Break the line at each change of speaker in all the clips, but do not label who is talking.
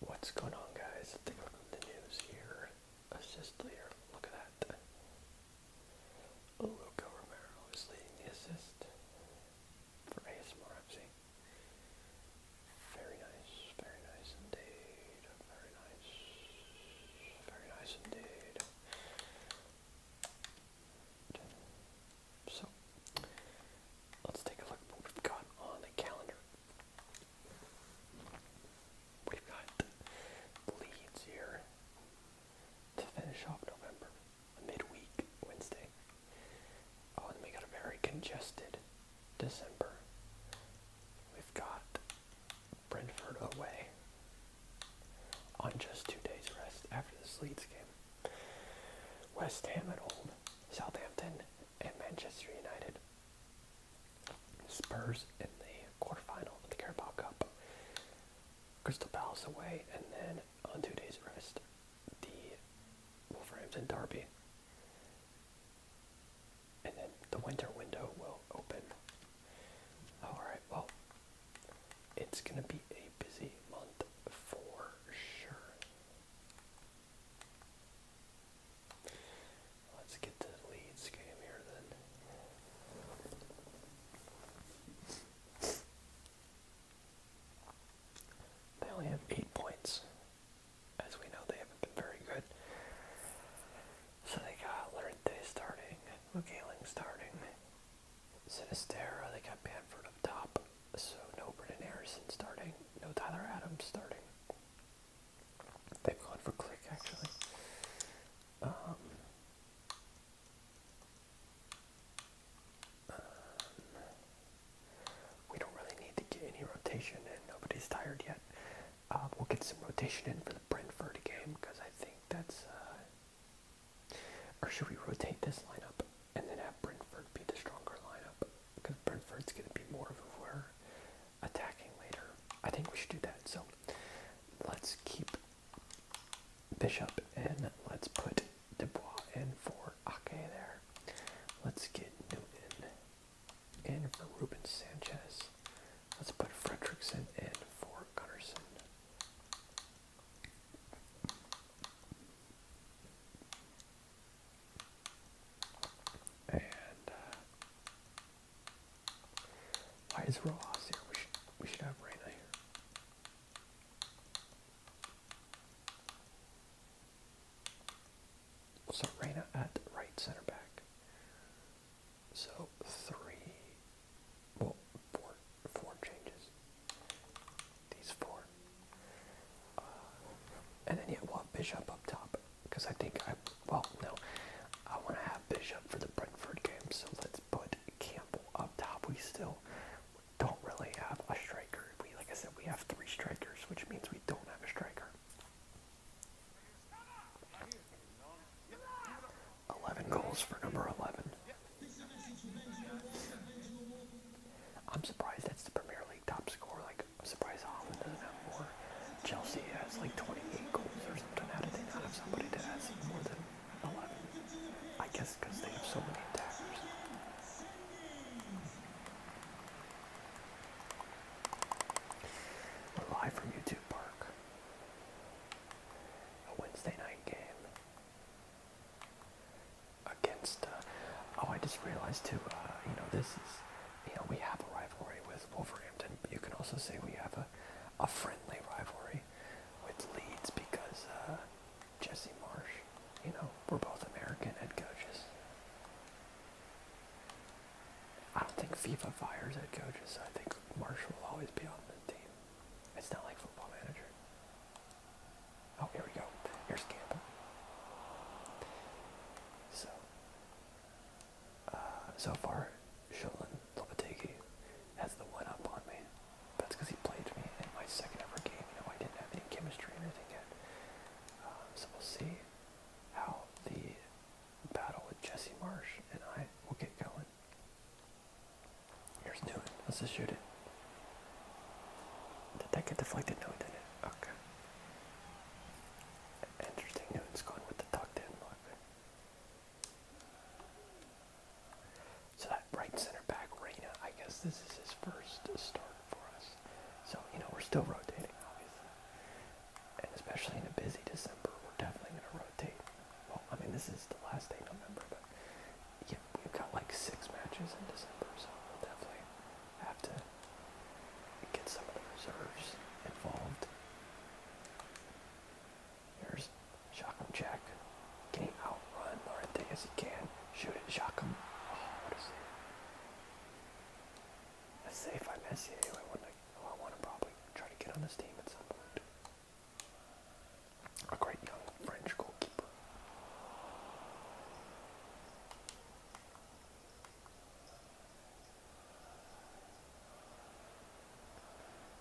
What's going on, guys? Take a look at the news here. Assist leader, look at that. Luca Romero is leading the assist for ASMR Very nice, very nice indeed. Very nice, very nice indeed. So, let's take a look at what we've got on the calendar We've got Leeds here to finish off November, midweek Wednesday. Oh, and we got a very congested December. We've got Brentford away on just two days rest after the Leeds game. West Ham at Old Southampton, and Manchester United Spurs in the quarterfinal of the Carabao Cup. Crystal Palace away, and then on two days rest, the Wolverhampton Derby. And then the winter window will open. Alright, well, it's going to be a busy month for sure. Let's get to the Leeds game here then. They only have eight points. As we know, they haven't been very good. So they got Lorente starting, Mugaling starting, Sinisterra, they got Banford up top, so no Brendan Harrison starting, no Tyler Adams starting. They've gone for click actually. Um, um, we don't really need to get any rotation in. Nobody's tired yet. Uh, we'll get some rotation in for the Brentford game because I think that's. Uh, or should we rotate this lineup and then have Brentford be the stronger lineup? because Brentford's going to be more of who attacking later. I think we should do that. So let's keep Bishop and let's put Dubois in for Ake there. Let's get Newton in for Ruben Sanchez. Let's put Fredrickson in for Gunnarsson. And uh, why is Rojas here? We should we should have Reyna here. So Reyna at right center back. So three, well, four, four changes. These four and then yeah, we'll have Bishop up top because I think I well no, I want to have Bishop for the Brentford game, so let's put Campbell up top. We still don't really have a striker. We like I said, we have three strikers, which means we don't have a striker. 11 goals for number 11. I'm surprised that's the Premier League top scorer. Like I'm surprised Holland doesn't have more. Chelsea has like 28 goals or something. How did they not have somebody that has more than 11? I guess because they have so many attackers. live from YouTube Park. A Wednesday night game against. Uh, oh, I just realized too. Uh, you know, this is you know, we have a rivalry with Wolverhampton, but you can also say we have a, a friendly rivalry with Leeds because uh, Jesse Marsh, you know, we're both American head coaches. I don't think FIFA fires head coaches. So I think Marsh will always be on the team. It's not like football manager. Oh, here we go. Here's Campbell. So so uh, far, Sholan Lopategi has the one up on me. That's because he played me in my second ever game. You know, I didn't have any chemistry or anything yet. Um, so we'll see how the battle with Jesse Marsh and I will get going. Here's Newton. Let's just shoot it. Did that get deflected? No, it didn't. Okay. Interesting Newton's going with the tucked in look. So that right center back, Reina, I guess this is his first start for us. So, you know, we're still rotating, obviously. And especially in a busy December, we're definitely going to rotate. Well, I mean, this is the last day of November, but yeah, we've got like six matches in December, so we'll definitely I have to get some of the reserves involved. Here's Shockham Jack. Can he outrun Laurentius? He can. Shoot it, Shockham. Oh, what a safe. I miss it anyway. Wouldn't I, I want to probably try to get on this team at some point. A great young French goalkeeper.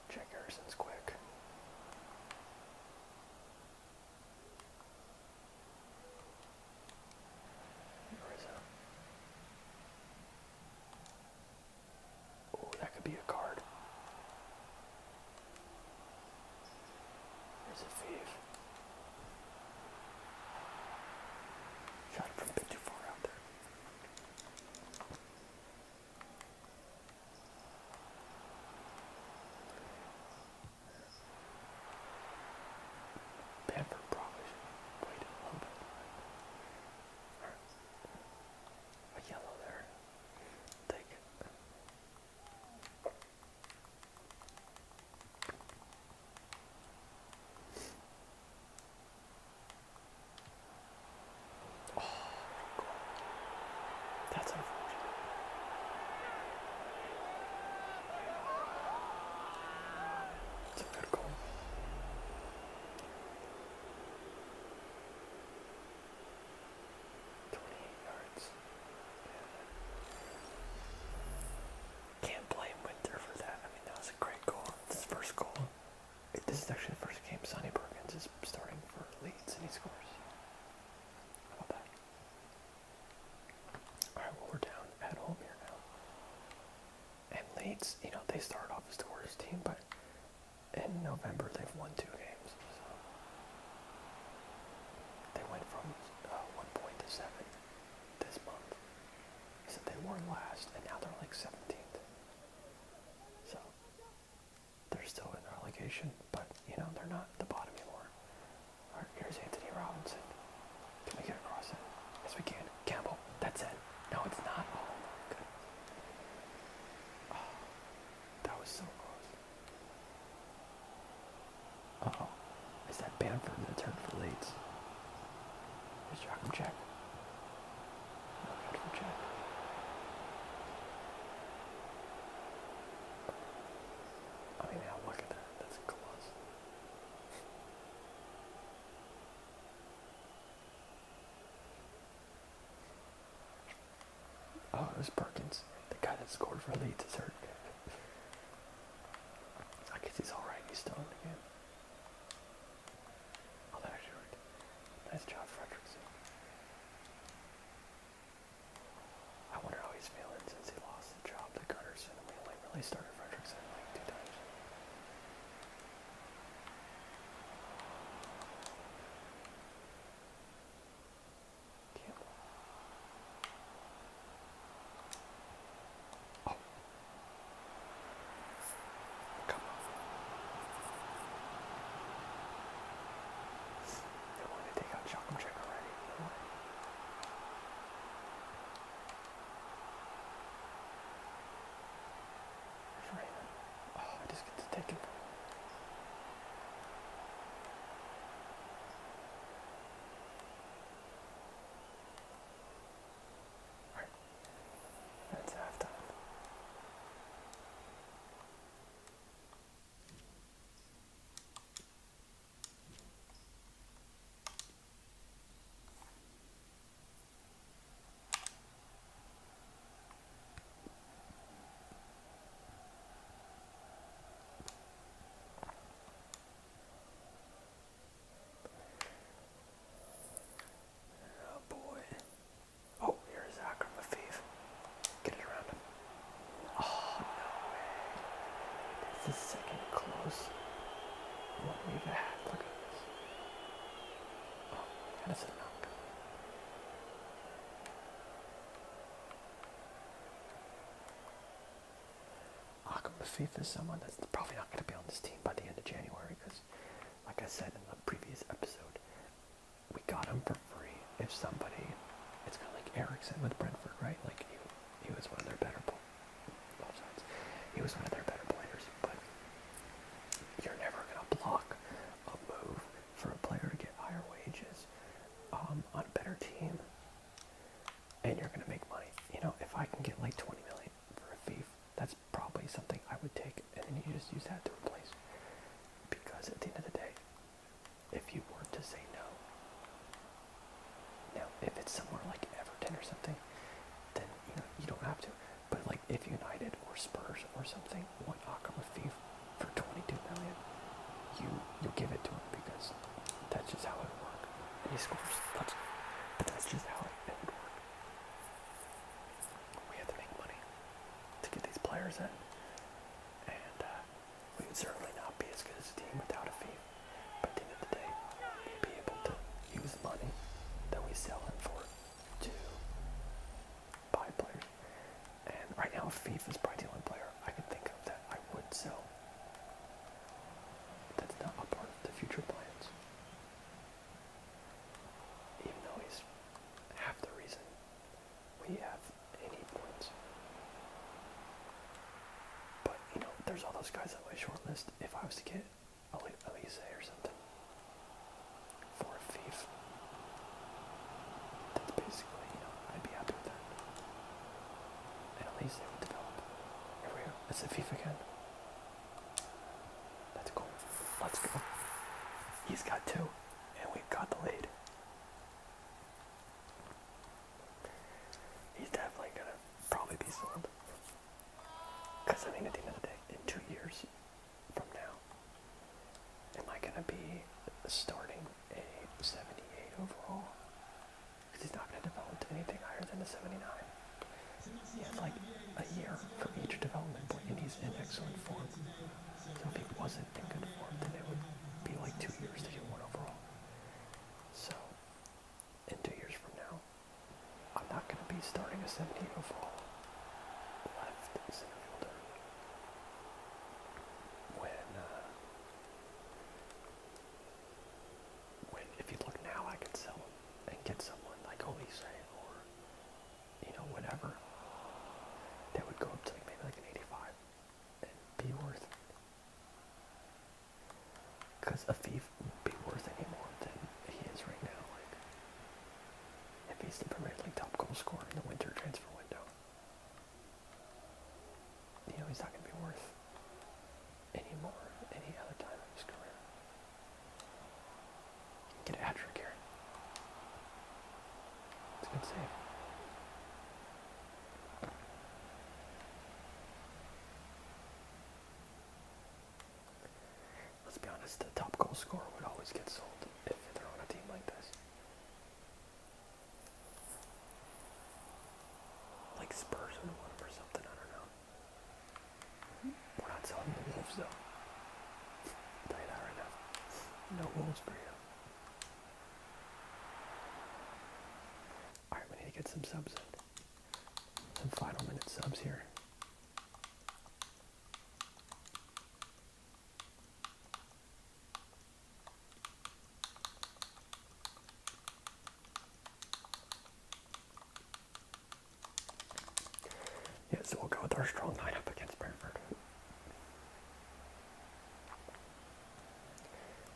Check Erson's quick. Oh, that could be a card. There's a thief. Shot from a bit too far out there. Pepper probably should wait a little A yellow there. Take Oh my god. That's unfortunate. It's a good goal. Twenty eight yards. Yeah. Can't blame Winter for that. I mean, that was a great goal. This first goal. this is actually the first game Sonny Perkins is starting for Leeds and he scores. Alright, well, we're down at home here now. And Leeds, you know, they started off as the worst team, but in November they've won two games. So they went from uh, one point to seven this month. So they were last, and now they're like 17th. So they're still in relegation, but you know they're not at the bottom anymore. All right, here's Anthony Robinson. Can we get across it? Yes, we can. Campbell, that's it. No, it's not. Oh, good. Oh, ah, that was so close oh. Is that Bamford in the turn for Leeds? Here's Joachim Check. No good for I mean, now look at that. That's close. Oh, it was Perkins, the guy that scored for Leeds is hurt. I guess he's alright, he's still in the game. Oh, that actually Nice job, Fredrickson. I wonder how he's feeling since he lost the job to Gunnarsson only really started Fredrickson like two times. Campbell. They wanted to take out Chocolate already. No Oh, I just get to take him. All right. That's done. Oh boy. Oh, here's Akram Lafif. Get it around Oh, no way. the second close one we've had. Look at this. Oh, that is a knock. Akam Bafif is someone that's probably not going to be on this team by the end of January because, like I said in the previous episode, we got him for free. If somebody, it's kind of like Erickson with Brentford, right? Like he, he was one of their better, players. He was one of their better players, but you're never going to block a move for a player to get higher wages um, on a better team and you're gonna make money. You know, if I can get like 20 million for a fee, that's probably something I would take, and then you just use that to replace. Because at the end of the day, if you were to say no, now if it's somewhere like Everton or something, then you know you don't have to. But like if United or Spurs or something want Akam a thief for 22 million, you you give it to him because that's just how it works. And he scores. That's, but that's just how money. It would work. We had to make money to get these players in, and uh, we would certainly not be as good as a team without a fee. But at the end of the day, we'd be able to use money that we sell in for to buy players. And right now, FIFA is probably the only player I can think of that I would sell. That's not a part of the future plans. Even though he's half the reason we have any points. But, you know, there's all those guys on my short list. If I was to get Elise or something for a thief, that's basically, you know, I'd be happy with that. And they would develop. Here we go. That's a thief again. Let's go. Let's go. He's got two, and we've got the lead. He's definitely gonna probably be sold. Because I mean, at the end of the day, in two years from now, am I gonna be starting a 78 overall? because he's not going to develop to anything higher than a 79. He has like a year for each development point, and he's in excellent form. So if he wasn't in good form, then it would be like two years to get one overall. So in two years from now, I'm not going to be starting a 70 overall left center fielder when. Uh, when, if you look now, I could sell him and get someone like Olise or you know whatever that would go up to like maybe like an 85 and be worth it. Because a thief wouldn't be worth any more than he is right now. Like if he's the Premier League top goal scorer in the winter transfer window, you know he's not going to be worth any more? any other time in his career. Get after it, Garrett. It's a good Let's be honest, the top goal scorer would always get sold if they're on a team like this. Like Spurs would want him or something, I don't know. We're not selling the wolves though. I'll tell you that right now. No wolves for you. Alright, we need to get some subs in. Some final minute subs here. Yeah, so we'll go with our strong nine up against Brentford.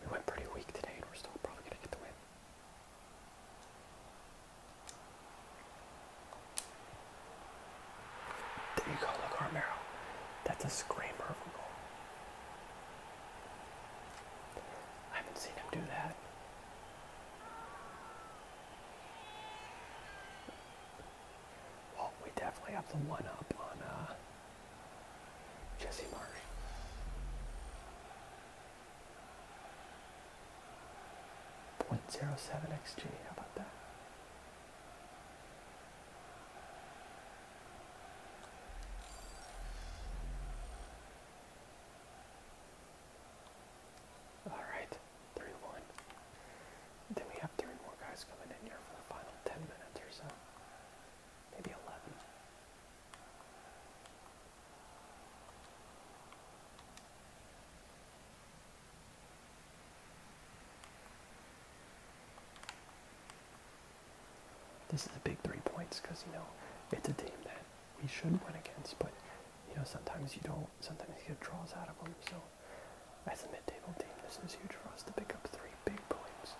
We went pretty weak today, and we're still probably going to get the win. There you go, look, Armero. That's a screamer of a goal. I haven't seen him do that. Well, we definitely have the one up on uh, Jesse Marsh. Point zero seven XG. How about that? Alright, 3 1. Then we have three more guys coming in here for the final 10 minutes or so. Maybe 11. This is a big three points because, you know, it's a team that we should win against, but you know sometimes you don't. Sometimes you get draws out of them. So as a mid-table team, this is huge for us to pick up three big points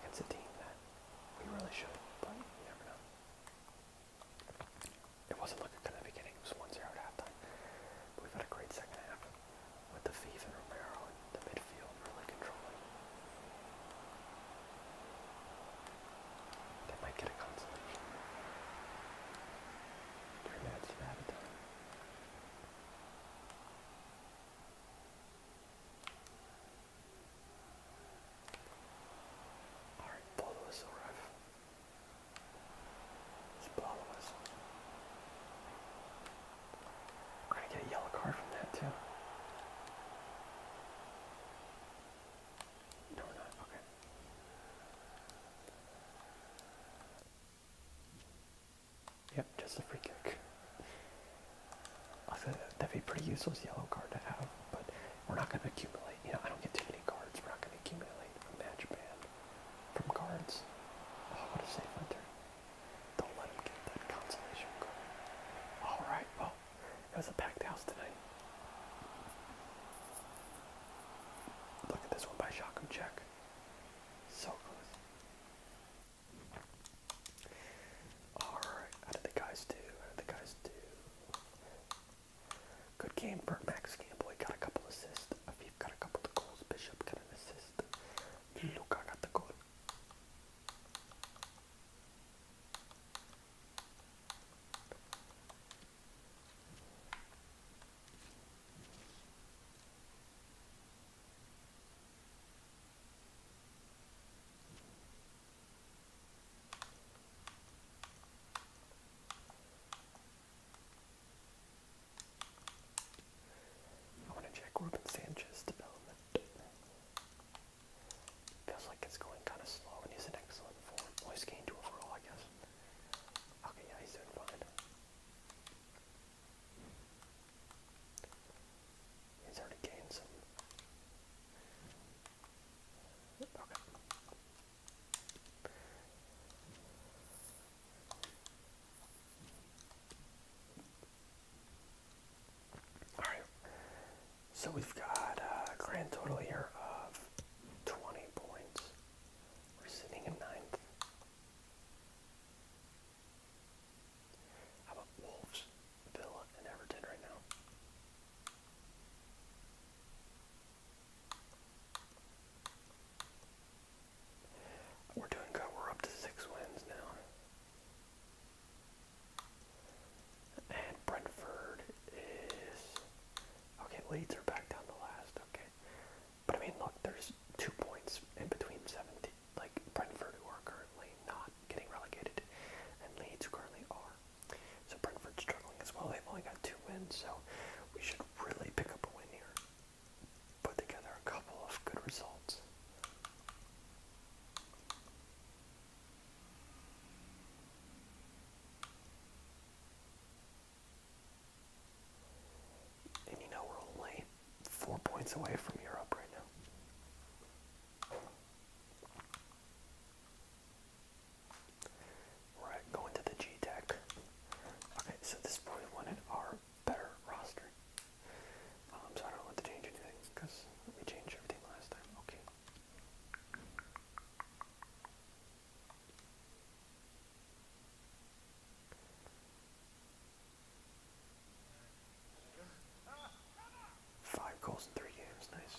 against a team that we really should. But you never know. It wasn't looking good at the beginning. It was one zero 0 at halftime. But we've had a great second half with the Thief and Romero and the midfield really controlling. They might get a consolation. Three minutes Alright, blow the whistle, ref. We're gonna get a yellow card from that too. No, we're not. Okay. Yep, just a free kick. that'd be a pretty useless yellow card to have, but we're not going to accumulate. You know, I don't get too many cards. We're not going to accumulate a match band from cards. Oh, what a safe hunter. Don't let him get that consolation card. Alright, well, it was a packed house tonight. Look at this one by Shakum Check. So close. Alright, how did the guys do? How did the guys do? Good game for Max Gamboy. Got a couple assists. Afif got a couple goals. Bishop got an assist. Luca got the goal. I want to check Ruben Sanchez development. Feels like it's going kind of slow, and he's in excellent form. Well, he's gained two overall, I guess. Okay, yeah, he's doing fine. He's already gained some. Okay. Alright. So we've got a grand total here of 20 points. We're sitting in ninth. How about Wolves, Villa, and Everton right now? We're doing good. We're up to six wins now. And Brentford is okay. Leeds are back down the last. Okay, but I mean, look, there's two points in between 17. Like Brentford, who are currently not getting relegated, and Leeds who currently are. So Brentford's struggling as well. They've only got two wins, so we should really pick up a win here. Put together a couple of good results. And you know, we're only four points away from Europe right now. Right, going to the G Tech. Okay, so this is probably our better roster. Um, so I don't want to change anything because we changed everything last time. Okay, Five goals in three games, nice.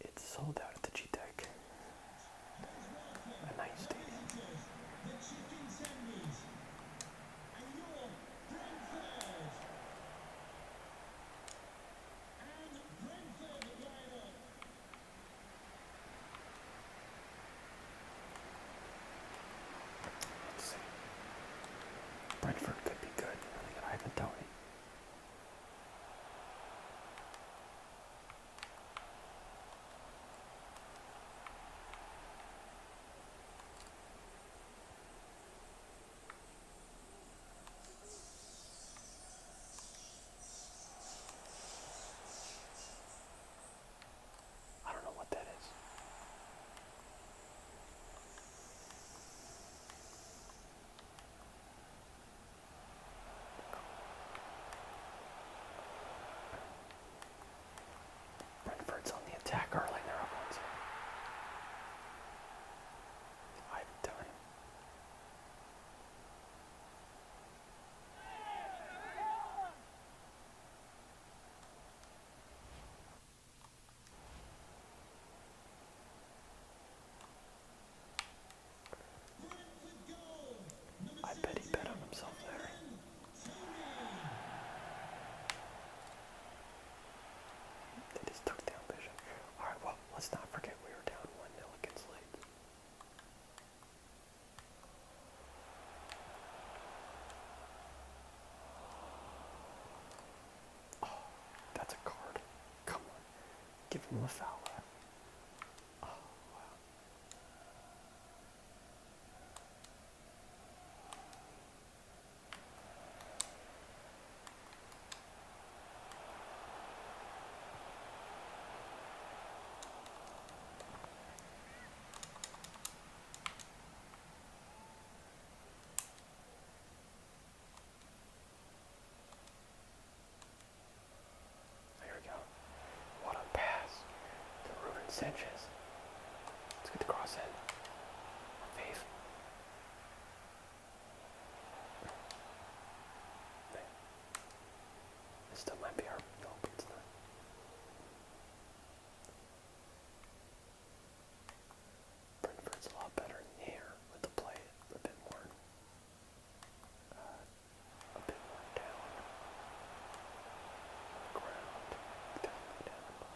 It's sold out at the G Tech. A nice stadium. Let's see. Brentford could be good. I think I haven't done it. I don't know what that is. Brentford's on the attack early. They're up one zero. Five I bet he bet on himself there. They just took Alright, well, let's not forget we were down 1 0 against Oh, that's a card. Come on. Give him a foul. Oh, there we go. What a pass to Ruben Sanchez. Let's get the cross in. Faith. This might be our nope, it's Brentford's a lot better in with the play a bit more uh, a bit more down ground. Definitely down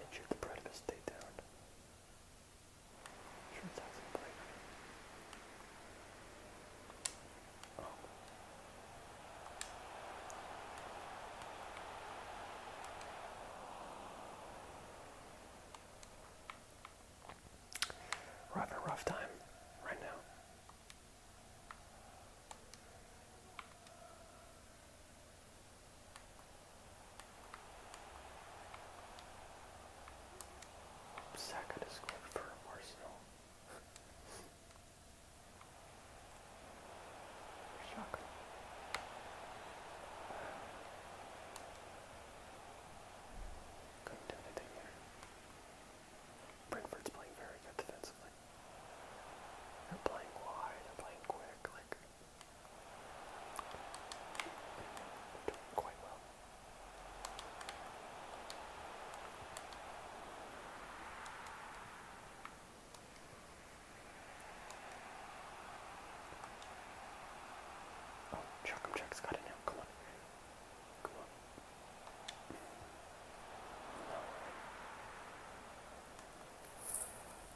and shoot the predator stay down. Sure sounds oh. having a rough time right now. Saka to score for Arsenal. Shocker. Couldn't do anything there. Brentford's playing very good defensively. They're playing wide, they're playing quick, like Doing quite well. Oh, Chuckum Chuck's got it now. Come on. Come on. No.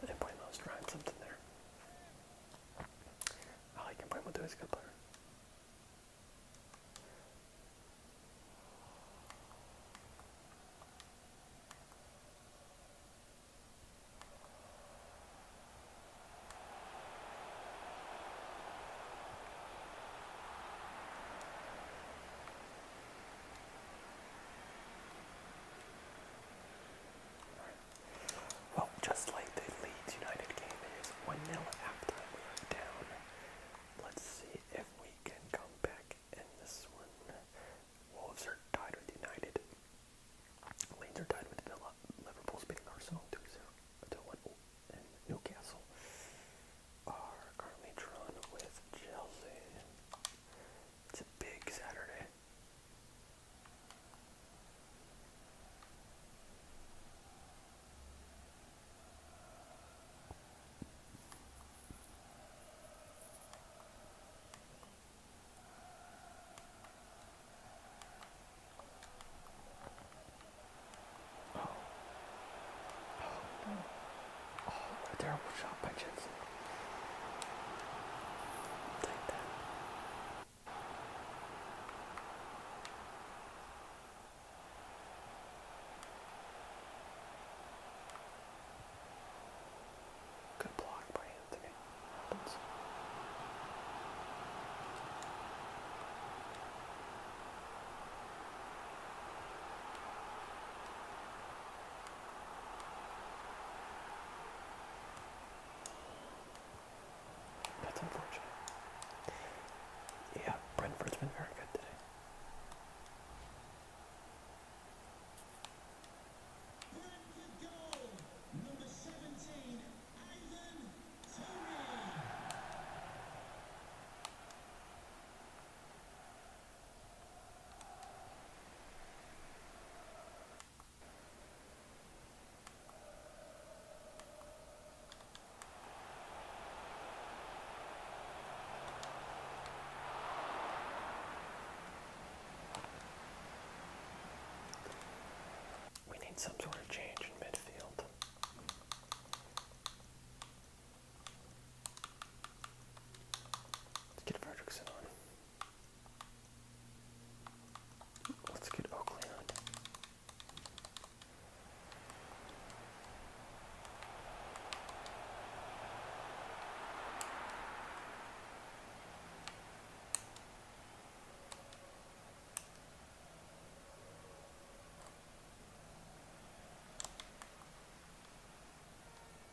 And Embuemo was trying something there. I like Embuemo too, he's a good player. Well, just like the Leeds United game is one nil after we are down. Let's see if we can come back in this one. Wolves are tied with United. Leeds are tied with Villa. Liverpool's beating Arsenal 2-0 and Newcastle are currently drawn with Chelsea. It's a big Saturday. Oh. Oh, Oh, a terrible shot by Jensen. Good block by Anthony. That's unfortunate. Yeah, Brentford's been very good today. We need some sort of change in midfield. Let's get Fredrickson on. Let's get Oakley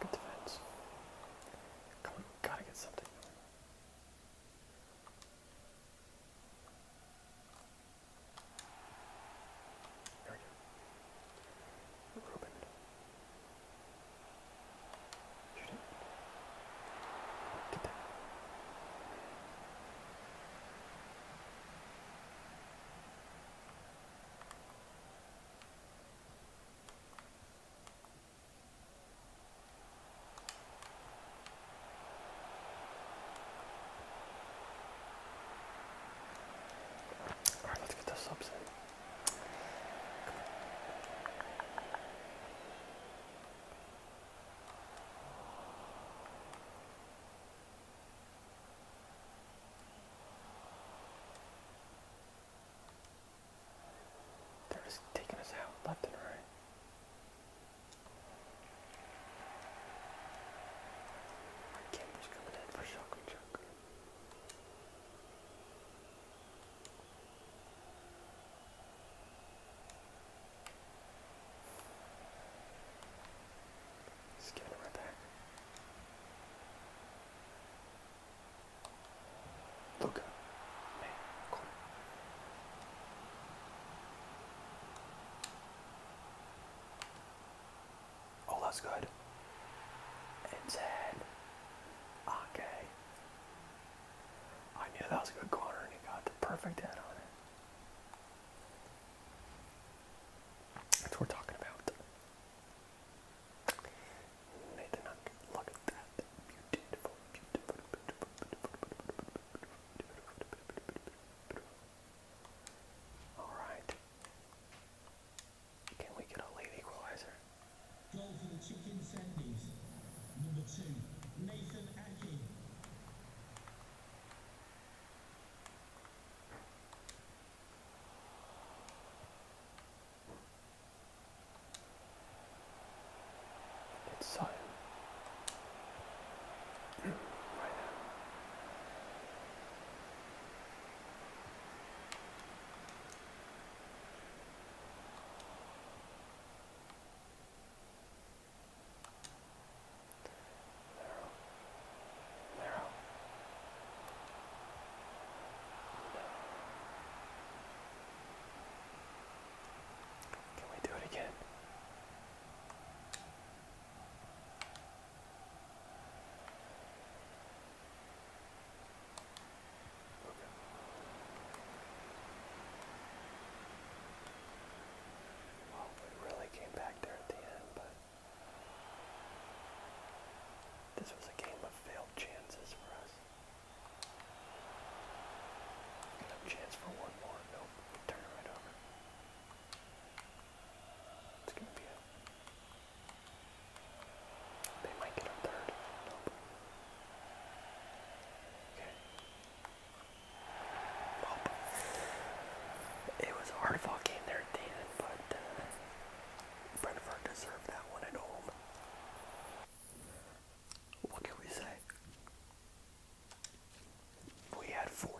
Good defense. Come on, gotta get something. There we go. Ruben. Shoot it. Get that. All right, let's get the subs in. They're just taking us out left and right. My camera's coming in for shock and chuck. Just Man, Oh, that's good. And Ted. Okay. I knew that was a good corner and he got the perfect head on it. That's what we're talking about. Nathan Huck, look at that. Beautiful, beautiful, Alright. Can we get a late equalizer? Number two, Nathan Aki. It's silent. right there. There. Can we do it again? Well, we really came back there at the end, but this was a game of failed chances for us. No chance for one more. Nope. turn it right over. It's going to be a. They might get a third. Nope. Okay. Well, it was a hard fought there at but uh, Brentford deserved that one at home. What can we say? We had 41%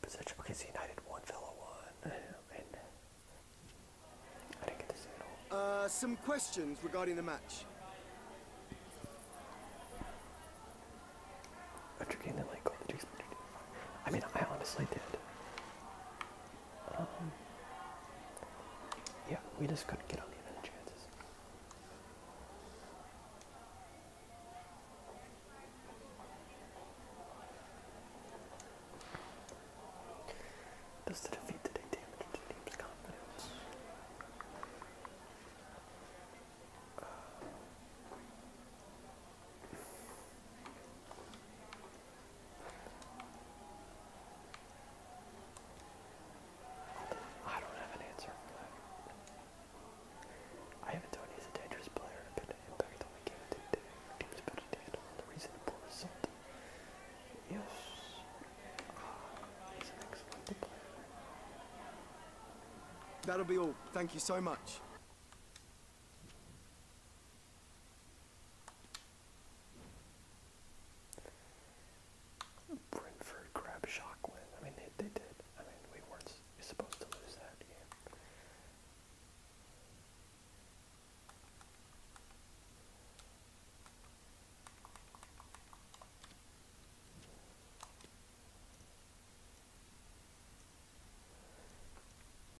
possession. Okay, United won, Villa won, I didn't get to see it all. Uh, some questions regarding the match. After getting the link, all the I mean, I honestly did. Um, yeah, we just couldn't get on the other chances. Does the defeat today damage the team's confidence? Uh, I don't have an answer I haven't told you he's a dangerous player and impact on the game today. Team's better handle the reason result. Yes. Ah, he's an excellent player. That'll be all. Thank you so much. Brentford grabbed Shockwin. I mean, they, they did. I mean, we weren't supposed to lose that game.